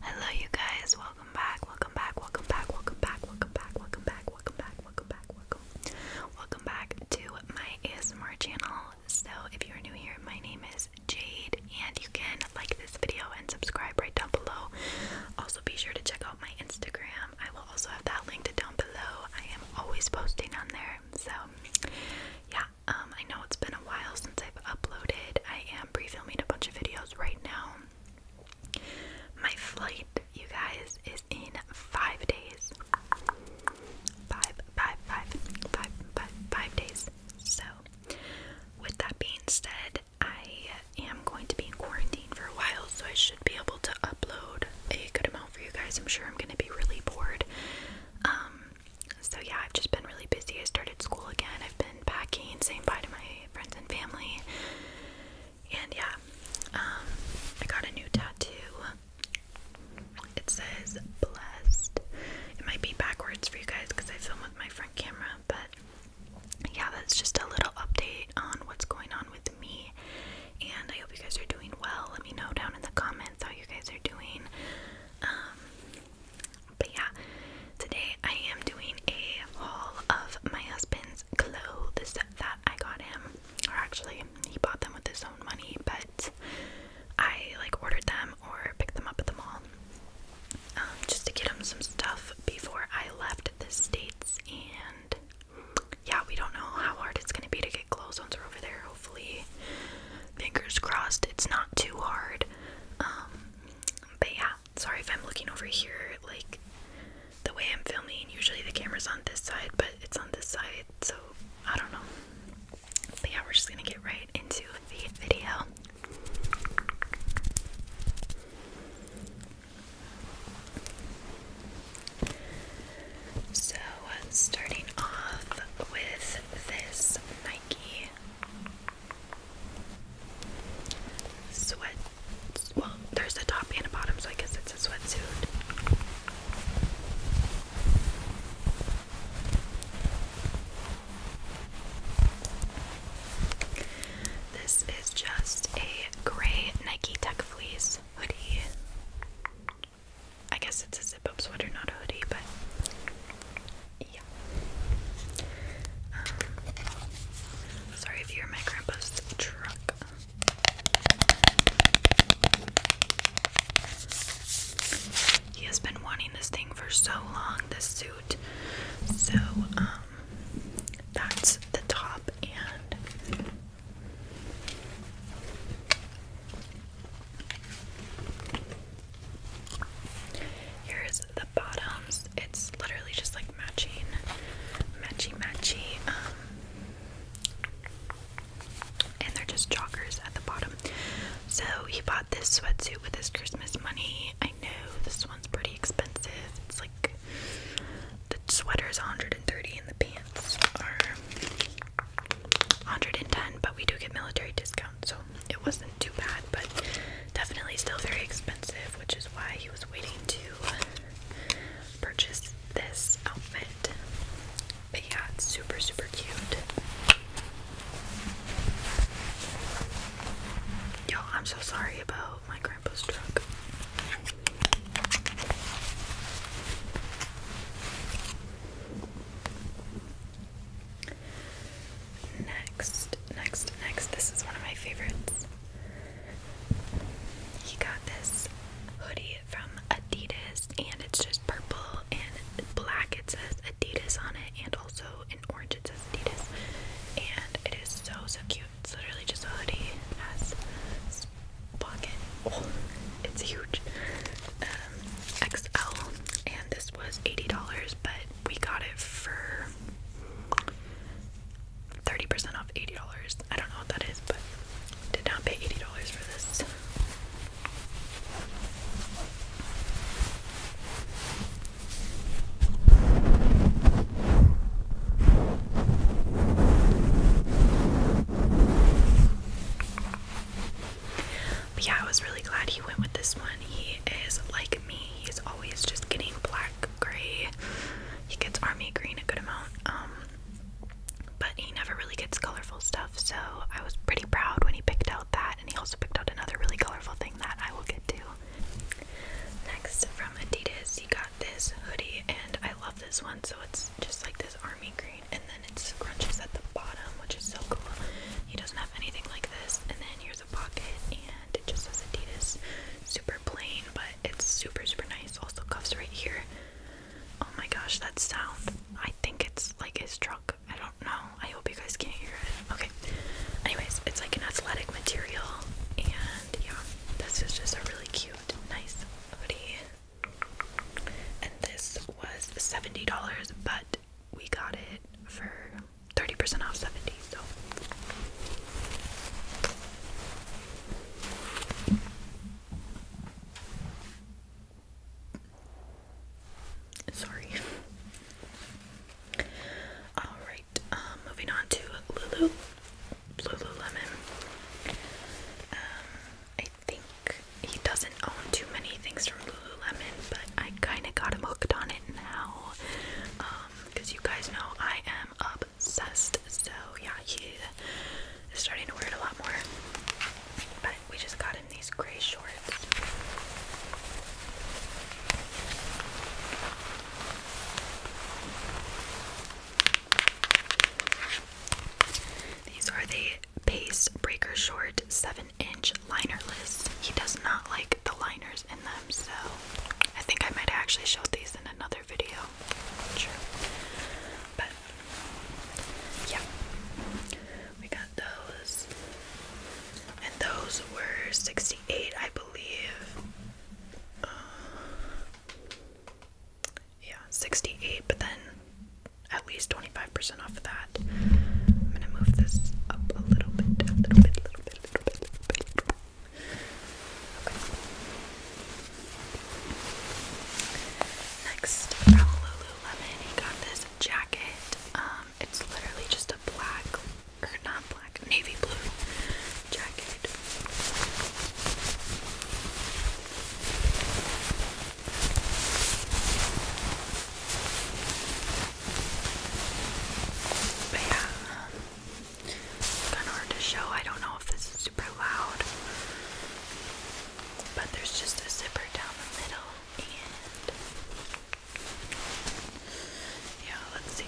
Hello, you guys. Welcome back. Welcome back. Welcome back. Welcome back. Welcome back. Welcome back. Welcome back. Welcome back. Welcome. Welcome back to my ASMR channel. So, if you're new here, my name is Jade, and you can like this video and subscribe right down below. Also, be sure to check out my Instagram. I will also have that linked down below. I am always posting on there. So, yeah. Um, I know it's been a while since I've uploaded. I am pre filming a bunch of videos right now. My flight, you guys, is in five days. Five, five, five, five, five, five days. So, with that being said, I am going to be in quarantine for a while, so I should be able to upload a good amount for you guys. I'm sure I'm going to be really bored. Um, so yeah, I've just been really busy. I started school again. I've been packing, saying bye to my friends and family. And yeah, um, I got a new tattoo. It says blessed. It might be backwards for you guys because I film with my front camera, but yeah, that's just a little update on what's going on with me. And I hope you guys are doing well. Let me know down in the comments how you guys are doing. Um, but yeah, today I am doing a haul of my husband's clothes that I got him. Or actually, he bought them with his own money, but I like ordered them or picked them up at the mall um, just to get him some stuff before I left the States. And yeah, we don't know how hard it's gonna be to get clothes once we're over there. Hopefully, fingers crossed it's not too hard. Um, but yeah, sorry if I'm looking over here. Like the way I'm filming, usually the camera's on this side, but it's on this side, so I don't know. But yeah, we're just gonna get right into the video. So, starting off with this Nike sweat. Well, there's a top and a bottom, so I guess it's a sweatsuit. This is just a gray Nike Tech Fleece hoodie. I guess it's a zip up sweater, not a hoodie, but yeah. Um, sorry if you hear my grandpa's truck. He has been wanting this thing for so long, this suit. So, um, that's the top and Here's the bottoms. It's literally just like matching, matchy matchy. Um, and they're just joggers at the bottom. So he bought this sweatsuit with his Christmas money. I know this one's pretty expensive. It's like the sweater is 130 and the pants are 110 but we do get military discounts, so it wasn't too bad but definitely still very expensive which is why he was waiting to purchase this outfit but yeah it's super super cute yo i'm so sorry about my grandpa's truck Next, next, next. This is one of my favorites. He got this hoodie from Adidas, and it's just purple and black. It says Adidas on it, and also in orange it says Adidas. And it is so so cute. It's literally just a hoodie. It has pocket. Oh, it's huge. Um, XL, and this was $80, but we got it for 30% off $80. I don't know what that is, but did not pay $80 for this. But yeah, I was really glad he went with this one. He is like me, he's always just getting black, gray. He gets army green a good amount. Um, but he never really gets colorful stuff, so I was pretty proud when he picked out that and he also picked out another really colorful thing that I will get to. Next from Adidas you got this hoodie and I love this one so it's just like this army green and then it scrunches at the bottom which is so cool. He doesn't have anything like this and then here's a pocket and it just says Adidas. Super plain but it's super super nice. Also cuffs right here. Oh my gosh that sound. I think it's like his truck. I don't know. I hope you guys can't hear it. Okay. Anyways, it's like an athletic material and yeah, this is just a really cute, nice hoodie. And this was $70, but we got it for 30% off 70 so sorry all right Alright, um, moving on to Lulu, Lululemon. Um, I think he doesn't own too many things from Lululemon, but I kind of got him hooked on it now. Um, because you guys know I am obsessed, so yeah, he starting to wear it a lot more. But we just got him these gray shorts. These are the Pace Breaker Short 7 inch linerless. He does not like the liners in them, so I think I might actually show these in another video. But yeah. We got those. And those were 68, I uh, yeah, 68, but then at least 25% off of that. I'm gonna move this up a little bit, little bit, little bit, little bit, little bit. little bit. Next, from Lululemon, he got this jacket. Um, it's literally just a black not black, navy blue jacket. But yeah, kind of hard to show. I don't know if this is super loud, but there's just a zipper down the middle and yeah, let's see.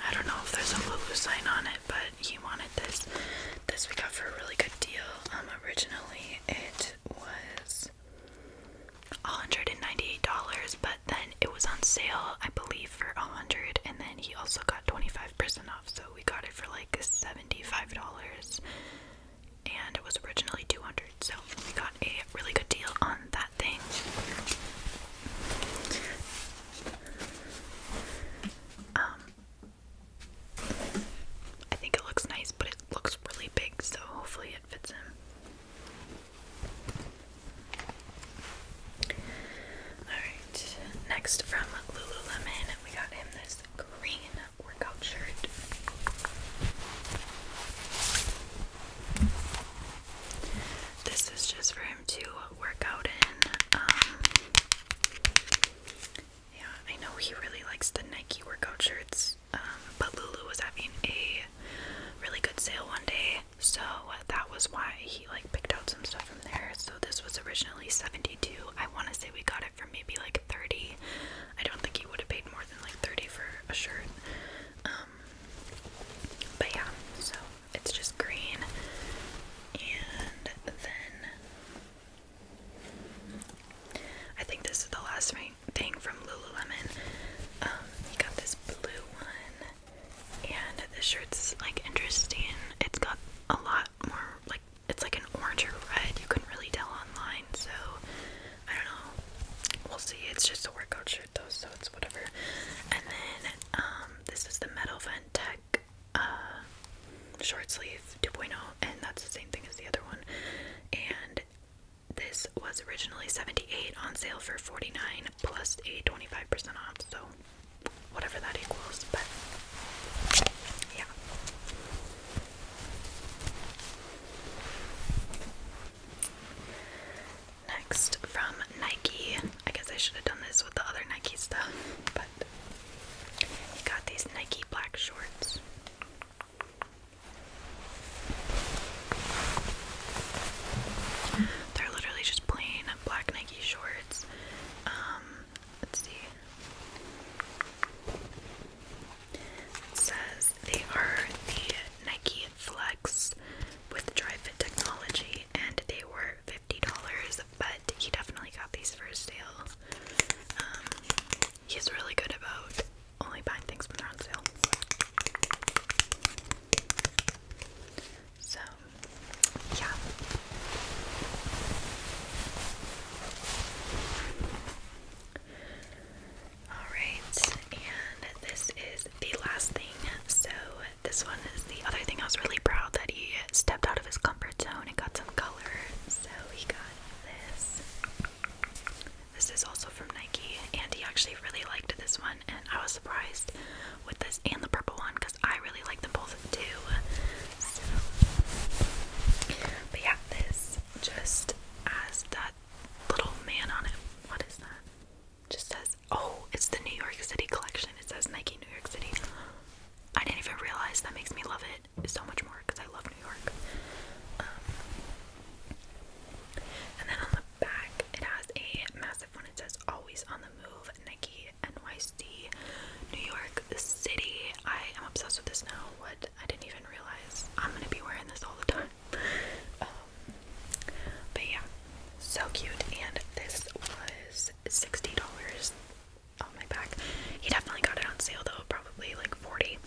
I don't know if there's a Lulu sign on it, but he wanted this. This we got for a really good deal. Um, originally it was $198, but then it was on sale, I believe, for 100 and then he also got 25% off, so we got it for like $75 and it was originally 200 so we got a really good deal on that thing um I think it looks nice but it looks really big so hopefully it fits him Alright, next from Lululemon, we got him this this green workout shirt. This is just for him to work out in. Um, yeah, I know he really likes the Nike workout shirts, um, but Lulu was having a really good sale one day, so that was why he like picked out some stuff from there. So this was originally 72. I want to say we got it for maybe like 30. I don't think he would have paid more than like 30 for a shirt. Um, but yeah, so it's just green. And then I think this is the last thing from Lululemon. Um, got this blue one, and the shirt's like interesting. It's got a lot more like it's like an orange or red. You couldn't really tell online, so I don't know. We'll see. It's just a workout shirt though, so it's whatever. And then um, this is the Metal Vent Tech uh, short sleeve 2.0, and that's the same thing as the other one. And this was originally 78 on sale for 49 plus a 25% off, so whatever that equals. But Next from Nike. I guess I should have done this with the other Nike stuff, but got these Nike black shorts. They're literally just plain black Nike shorts. Um, Let's see. says they are the Nike Flex with dry-fit technology, and they were fifty dollars. But he definitely got these for sale. Um, he's really good about only buying things when they're on sale. So yeah. Alright, and this is the last thing. So, this one is the other thing I was really proud that he stepped out of his comfort zone and got some color. So, he got this. This is also from Nike, and he actually really liked this one, and I was surprised with this and the purple one because I really like them both too. but yeah, this just has that little man on it. What is that? Just says, oh, it's the New York City collection. It says Nike New York City. I didn't even realize that makes me love it so much more because I love New York. Um, and then on the back, it has a massive expensive It says always on the move, Nike NYC, New York City. I am obsessed with this now. What I didn't even realize I'm gonna be wearing this all the time. Um, but yeah, so cute. And this was $60 on my back. He definitely got it on sale though, probably like 40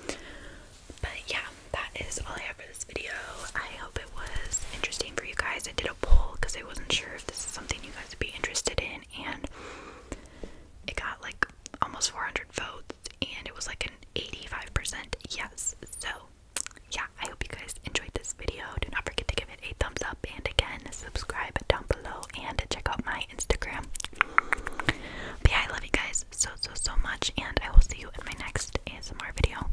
But yeah, that is all I have for this video. I hope it was interesting for you guys. I did a poll because I wasn't sure if this is something you guys would be interested in, and it got like almost 400 votes, and it was like an 85% yes. So, yeah, I hope you guys enjoyed this video. Do not forget to give it a thumbs up, and again, subscribe down below, and check out my Instagram. But I love you guys so, so, so much, and I will see you in my next ASMR video.